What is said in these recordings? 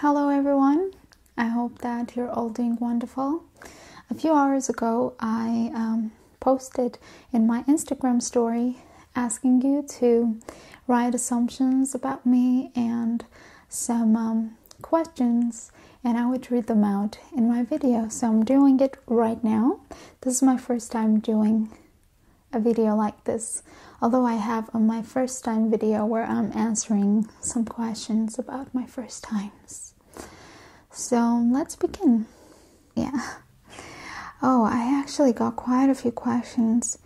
Hello everyone, I hope that you're all doing wonderful. A few hours ago, I um, posted in my Instagram story asking you to write assumptions about me and some um, questions, and I would read them out in my video. So I'm doing it right now. This is my first time doing a video like this, although I have on my first time video where I'm answering some questions about my first times. So let's begin. Yeah. Oh, I actually got quite a few questions.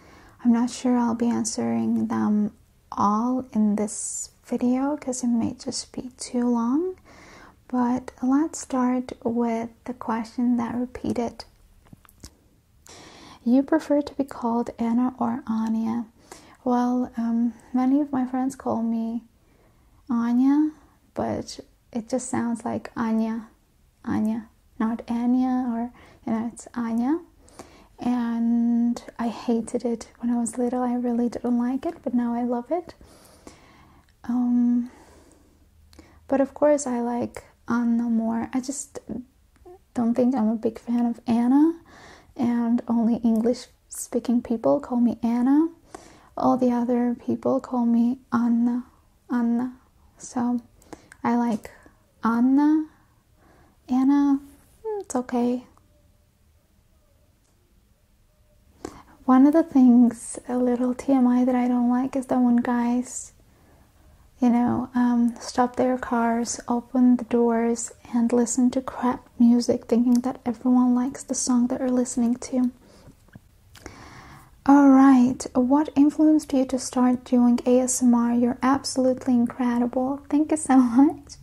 I'm not sure I'll be answering them all in this video because it may just be too long. But let's start with the question that repeated you prefer to be called Anna or Anya? Well, um, many of my friends call me Anya, but it just sounds like Anya, Anya, not Anya or, you know, it's Anya. And I hated it when I was little. I really didn't like it, but now I love it. Um, but of course, I like Anna more. I just don't think I'm a big fan of Anna, and only English speaking people call me Anna. All the other people call me Anna, Anna. So I like Anna, Anna, mm, it's okay. One of the things, a little TMI that I don't like is that one guys you know, um, stop their cars, open the doors, and listen to crap music, thinking that everyone likes the song they are listening to. Alright, what influenced you to start doing ASMR? You're absolutely incredible. Thank you so much.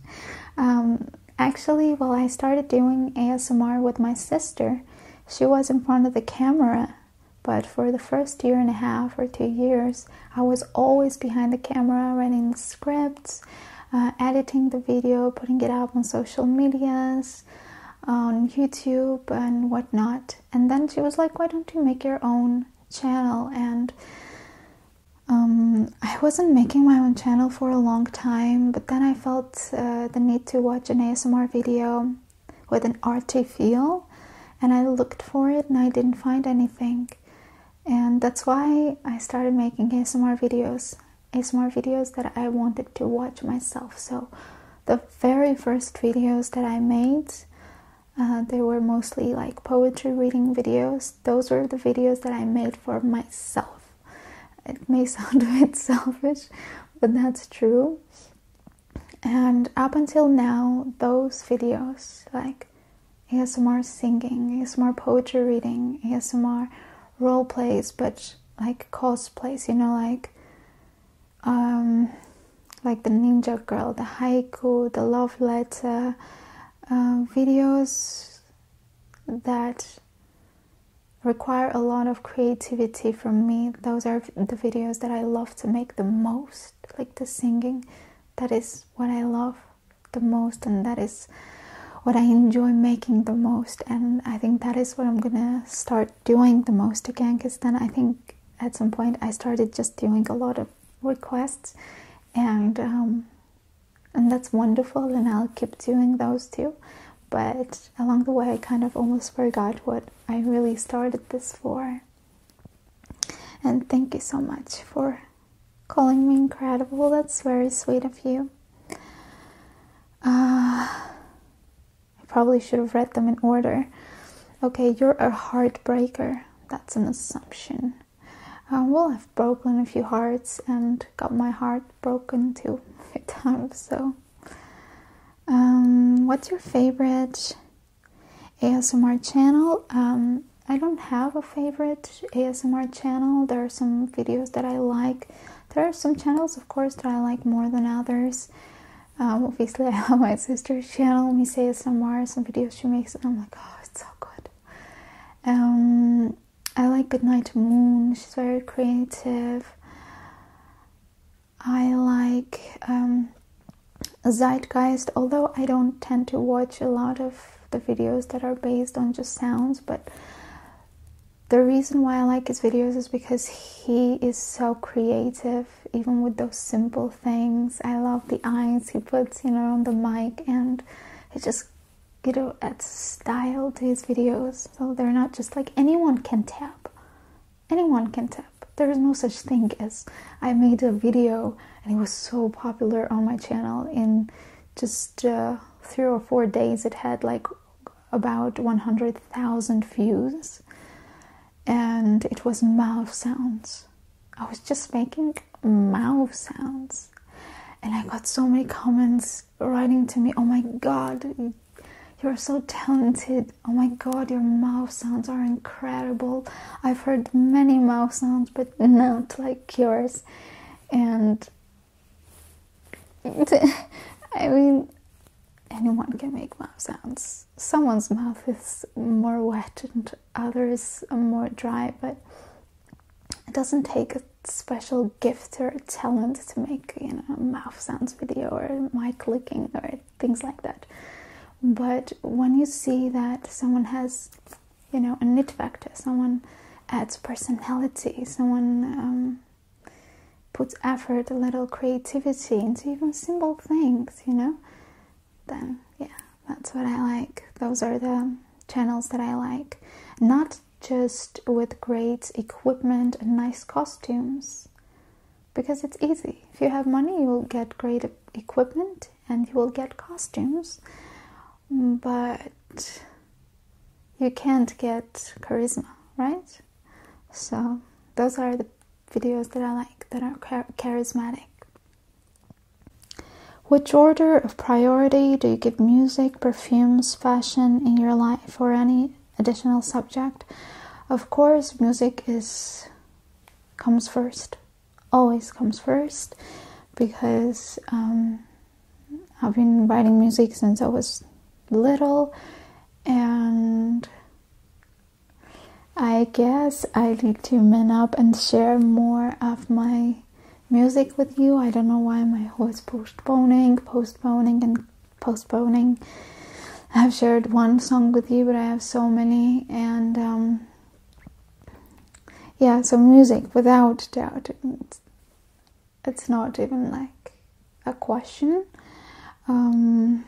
Um, actually, well, I started doing ASMR with my sister. She was in front of the camera but for the first year and a half or two years, I was always behind the camera, writing the scripts, uh, editing the video, putting it up on social medias, on YouTube, and whatnot. And then she was like, Why don't you make your own channel? And um, I wasn't making my own channel for a long time, but then I felt uh, the need to watch an ASMR video with an arty feel and I looked for it and I didn't find anything. And that's why I started making ASMR videos, ASMR videos that I wanted to watch myself. So the very first videos that I made, uh, they were mostly like poetry reading videos. Those were the videos that I made for myself. It may sound a bit selfish, but that's true and up until now those videos like ASMR singing, ASMR poetry reading, ASMR role plays, but like cosplays, you know, like um, like the ninja girl, the haiku, the love letter, uh, videos that require a lot of creativity from me. Those are the videos that I love to make the most like the singing that is what i love the most and that is what i enjoy making the most and i think that is what i'm gonna start doing the most again because then i think at some point i started just doing a lot of requests and um, and that's wonderful and i'll keep doing those too but along the way i kind of almost forgot what i really started this for and thank you so much for calling me incredible. That's very sweet of you. Uh, I probably should have read them in order. Okay, you're a heartbreaker. That's an assumption. Uh, well, I've broken a few hearts and got my heart broken too a few times, so. Um, what's your favorite ASMR channel. Um, I don't have a favorite ASMR channel. There are some videos that I like. There are some channels, of course, that I like more than others. Um, obviously, I have my sister's channel, Miss ASMR. Some videos she makes, and I'm like, oh, it's so good. Um, I like Goodnight Moon. She's very creative. I like um, Zeitgeist, although I don't tend to watch a lot of the videos that are based on just sounds, but the reason why I like his videos is because he is so creative, even with those simple things. I love the eyes he puts, you know, on the mic, and he just, you know, adds style to his videos. So they're not just like anyone can tap anyone can tap. There is no such thing as I made a video and it was so popular on my channel in just uh, three or four days. It had like about 100,000 views and it was mouth sounds. I was just making mouth sounds and I got so many comments writing to me, Oh my god, you're so talented oh my god, your mouth sounds are incredible. I've heard many mouth sounds, but not like yours. And I mean, anyone can make mouth sounds. Someone's mouth is more wet and others are more dry, but it doesn't take a special gift or talent to make, you know, a mouth sounds video or mic clicking or things like that. But when you see that someone has, you know, a knit factor, someone adds personality, someone um, puts effort, a little creativity into even simple things, you know, then yeah, that's what I like. Those are the channels that I like. Not just with great equipment and nice costumes, because it's easy. If you have money, you will get great equipment and you will get costumes, but you can't get charisma, right? So, those are the videos that I like that are charismatic. Which order of priority do you give music, perfumes, fashion in your life, or any additional subject. Of course, music is comes first, always comes first, because um, I've been writing music since I was little, and I guess I need to man up and share more of my music with you. I don't know why I'm always postponing, postponing, and postponing. I've shared one song with you, but I have so many, and um, yeah, so music, without doubt, it's, it's not even like a question. Um,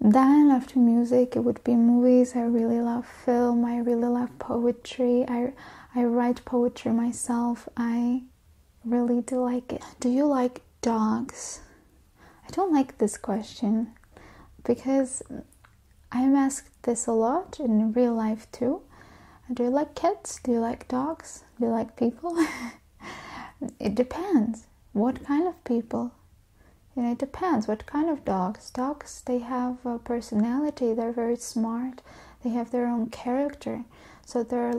then after music, it would be movies. I really love film. I really love poetry. I I write poetry myself. I really do like it. Do you like dogs? I don't like this question because I'm asked this a lot in real life too. Do you like cats? Do you like dogs? Do you like people? it depends. What kind of people? it depends what kind of dogs. Dogs, they have a personality, they're very smart, they have their own character. So they're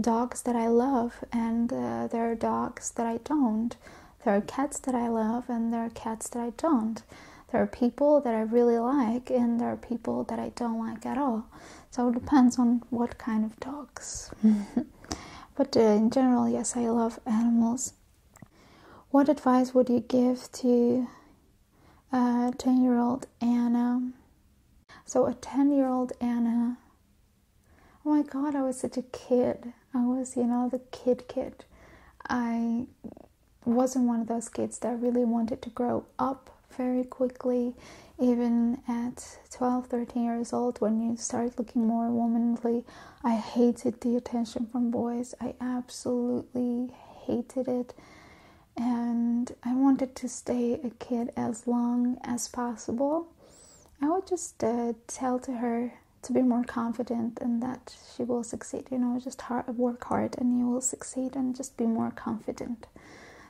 dogs that I love, and uh, there are dogs that I don't. There are cats that I love, and there are cats that I don't. There are people that I really like, and there are people that I don't like at all. So it depends on what kind of dogs. but uh, in general, yes, I love animals. What advice would you give to a uh, 10 year old Anna? So, a 10 year old Anna Oh my God, I was such a kid. I was, you know, the kid kid. I wasn't one of those kids that really wanted to grow up very quickly, even at 12, 13 years old, when you start looking more womanly. I hated the attention from boys. I absolutely hated it. And I wanted to stay a kid as long as possible. I would just uh, tell to her to be more confident and that she will succeed. You know, just work hard and you will succeed and just be more confident.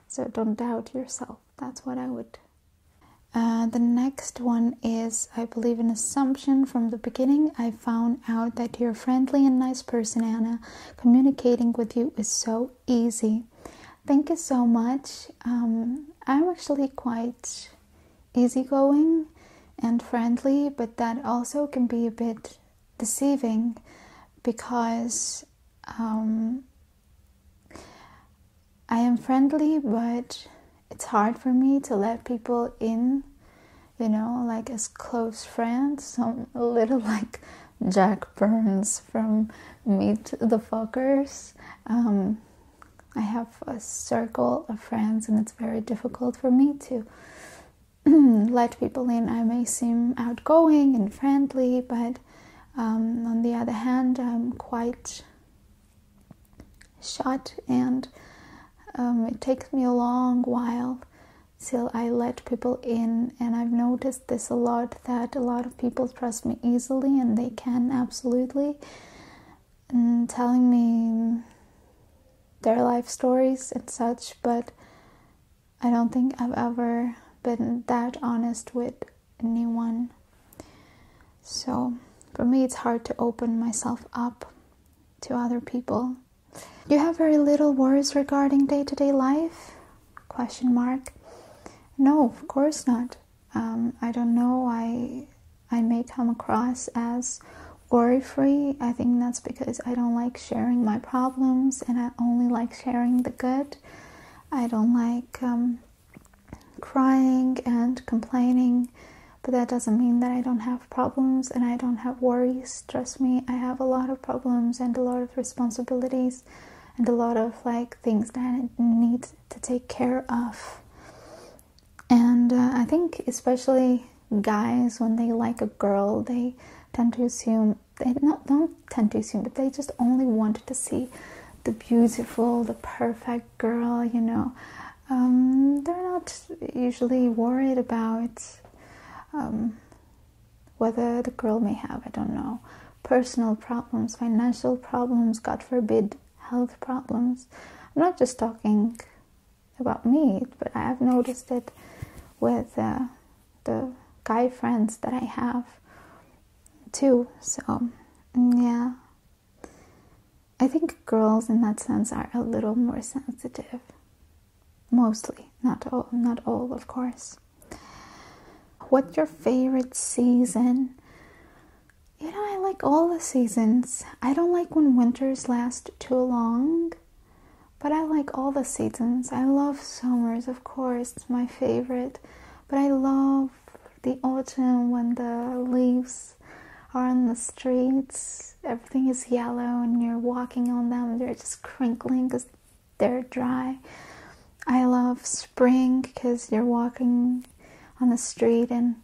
So don't doubt yourself. That's what I would. Uh, the next one is I believe an assumption from the beginning. I found out that you're friendly and nice person, Anna. Communicating with you is so easy. Thank you so much. Um, I'm actually quite easygoing and friendly, but that also can be a bit deceiving because um, I am friendly, but it's hard for me to let people in, you know, like as close friends. some little like Jack Burns from Meet the Fuckers. Um, I have a circle of friends, and it's very difficult for me to let people in. I may seem outgoing and friendly, but um, on the other hand, I'm quite shut, and um, it takes me a long while till I let people in. And I've noticed this a lot that a lot of people people trust me easily and they can absolutely. And telling me their life stories and such, but I don't think I've ever been that honest with anyone. So for me, it's hard to open myself up to other people. Do you have very little worries regarding day to day life? Question mark. No, of course not. Um, I don't know I I may come across as worry free. I think that's because I don't like sharing my problems and I only like sharing the good. I don't like um, crying and complaining, but that doesn't mean that I don't have problems and I don't have worries. Trust me, I have a lot of problems and a lot of responsibilities and a lot of like things that it needs to take care of. And uh, I think especially guys when they like a girl, they tend to assume they don't tend to assume, but they just only wanted to see the beautiful, the perfect girl, you know. Um, they're not usually worried about um, whether the girl may have, I don't know, personal problems, financial problems, God forbid, health problems. I'm not just talking about me, but I have noticed it with uh, the guy friends that I have too. So, yeah. I think girls in that sense are a little more sensitive. Mostly, not all, not all, of course. What's your favorite season? You know, I like all the seasons. I don't like when winters last too long, but I like all the seasons. I love summers, of course, it's my favorite, but I love the autumn when the leaves are on the streets, everything is yellow, and you're walking on them, they're just crinkling because they're dry. I love spring because you're walking on the street and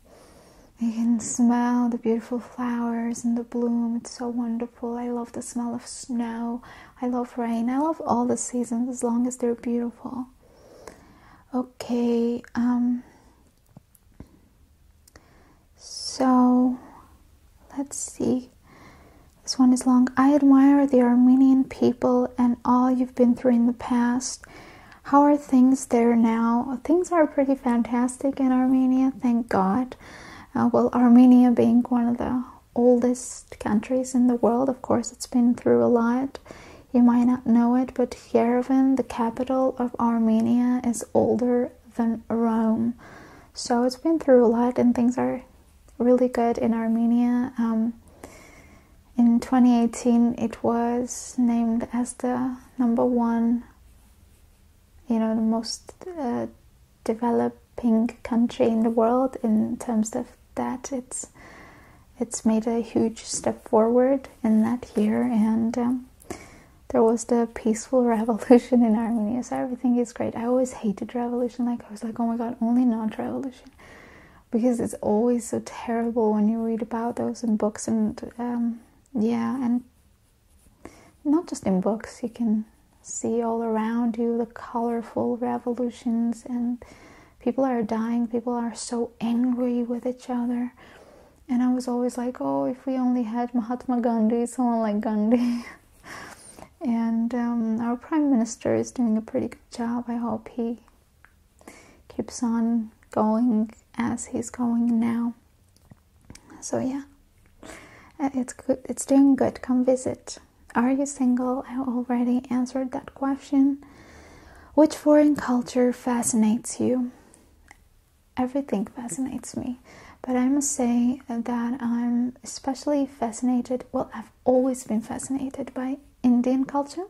you can smell the beautiful flowers and the bloom. It's so wonderful. I love the smell of snow. I love rain. I love all the seasons as long as they're beautiful. Okay, um, so let's see. This one is long. I admire the Armenian people and all you've been through in the past. How are things there now? Things are pretty fantastic in Armenia, thank God. Uh, well, Armenia being one of the oldest countries in the world, of course, it's been through a lot. You might not know it, but Yerevan, the capital of Armenia, is older than Rome. So it's been through a lot and things are really good in Armenia. Um, in 2018, it was named as the number one, you know, the most uh, developing country in the world in terms of that. It's it's made a huge step forward in that year, and um, there was the peaceful revolution in Armenia. So everything is great. I always hated revolution. Like I was like, oh my god, only non revolution because it's always so terrible when you read about those in books and um, yeah and not just in books you can see all around you the colorful revolutions and people are dying people are so angry with each other and i was always like oh if we only had mahatma gandhi someone like gandhi and um, our prime minister is doing a pretty good job. I hope he keeps on going as he's going now. So yeah, uh, it's good. It's doing good. Come visit. Are you single? I already answered that question. Which foreign culture fascinates you? Everything fascinates me, but I must say that I'm especially fascinated. Well, always been fascinated by Indian culture.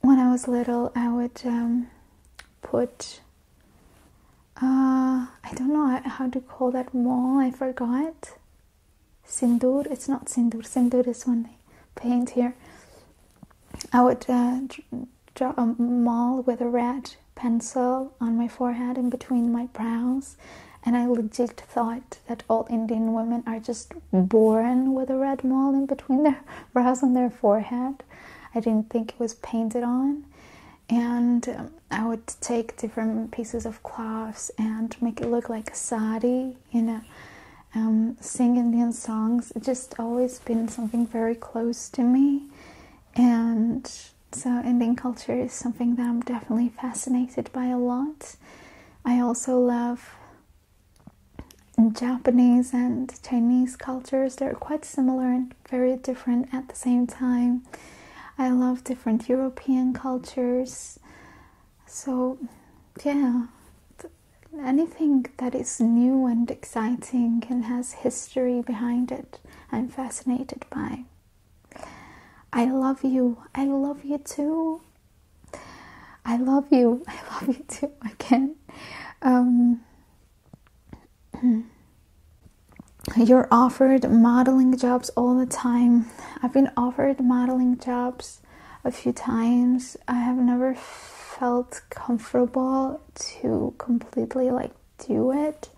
When I was little, I would um, put uh, I don't know how to call that mole. I forgot. Sindoor. It's not sindoor. Sindoor is when they paint here. I would uh, draw a mole with a red pencil on my forehead in between my brows and I legit thought that all Indian women are just born with a red mole in between their brows and their forehead. I didn't think it was painted on. And um, I would take different pieces of cloths and make it look like a sari, you know, um, sing Indian songs. It's just always been something very close to me. And so, Indian culture is something that I'm definitely fascinated by a lot. I also love Japanese and Chinese cultures. They're quite similar and very different at the same time. I love different European cultures. So, yeah, anything that is new and exciting and has history behind it, I'm fascinated by. I love you. I love you too. I love you. I love you too. Again, um, you're offered modeling jobs all the time. I've been offered modeling jobs a few times. I have never felt comfortable to completely like do it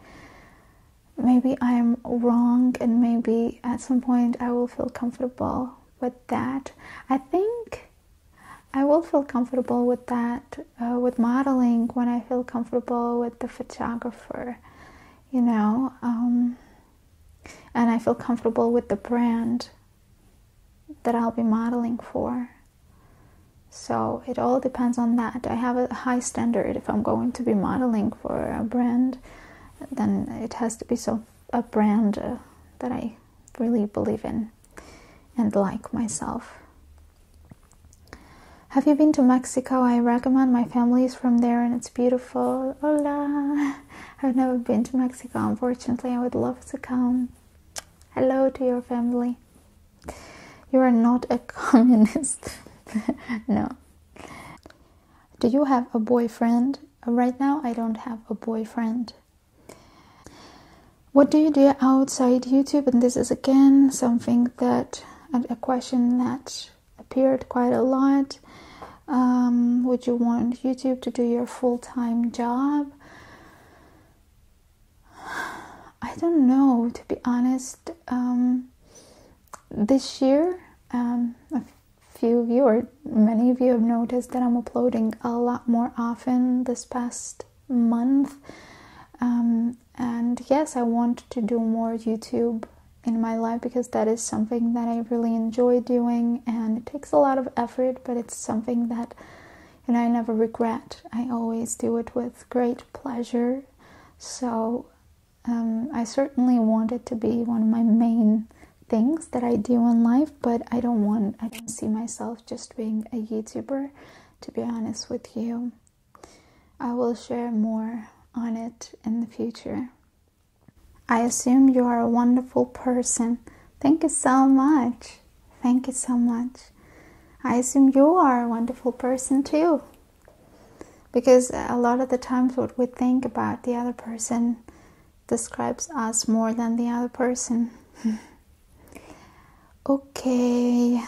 maybe I am wrong, and maybe at some point I will feel comfortable with that. I think I will feel comfortable with that, uh, with modeling when I feel comfortable with the photographer, you know, um, and I feel comfortable with the brand that I'll be modeling for. So it all depends on that. I have a high standard if I'm going to be modeling for a brand, then it has to be so a brand uh, that I really believe in and like myself. Have you been to Mexico? I recommend my family is from there and it's beautiful. Hola! I've never been to Mexico, unfortunately. I would love to come. Hello to your family. You are not a communist. no, do you have a boyfriend? Uh, right now, I don't have a boyfriend. What do you do outside YouTube? And this is again something that a question that appeared quite a lot. Um, would you want YouTube to do your full time job? I don't know, to be honest. Um, this year, um, a few of you or many of you have noticed that I'm uploading a lot more often this past month. Um, and yes, I want to do more YouTube in my life because that is something that I really enjoy doing and it takes a lot of effort, but it's something that and I never regret. I always do it with great pleasure. So um, I certainly want it to be one of my main things that I do in life, but I don't want, I don't see myself just being a YouTuber, to be honest with you. I will share more on it in the future. I assume you are a wonderful person. Thank you so much. Thank you so much. I assume you are a wonderful person too. Because a lot of the times, what we think about the other person describes us more than the other person. okay.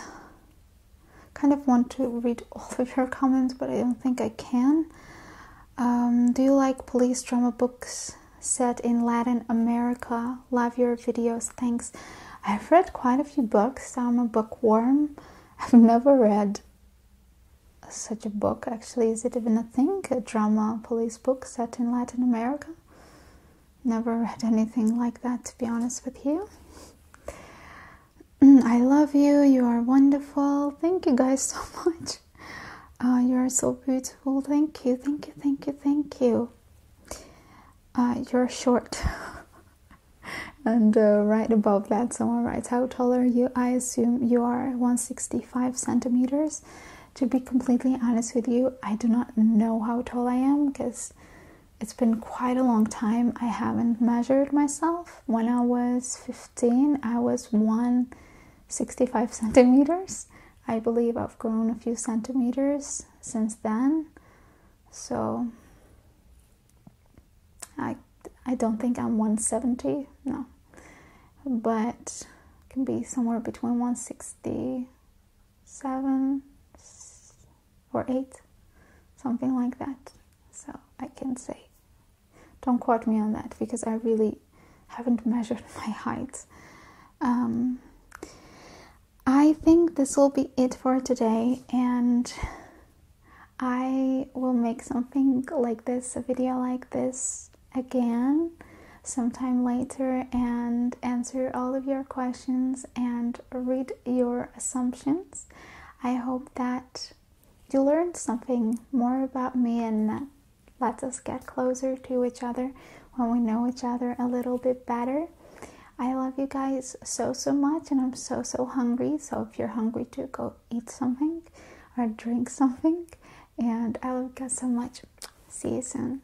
Kind of want to read all of your comments, but I don't think I can. Um, do you like police drama books set in Latin America? Love your videos. Thanks. I've read quite a few books. I'm a bookworm. I've never read such a book actually is it even a thing a drama police book set in latin america never read anything like that to be honest with you mm, i love you you are wonderful thank you guys so much uh, you are so beautiful thank you thank you thank you thank you uh, you're short and uh, right above that, someone writes, How tall are you? I assume you are 165 centimeters. To be completely honest with you, I do not know how tall I am because it's been quite a long time. I haven't measured myself. When I was 15, I was 165 centimeters. I believe I've grown a few centimeters since then. So I, I don't think I'm 170, no, but can be somewhere between 167 or 8, something like that. So I can say, don't quote me on that because I really haven't measured my height. Um, I think this will be it for today, and I will make something like this, a video like this again sometime later and answer all of your questions and read your assumptions. I hope that you learned something more about me and that lets us get closer to each other when we know each other a little bit better. I love you guys so, so much, and I'm so, so hungry. So, if you're hungry too, go eat something or drink something. And I love you guys so much. See you soon.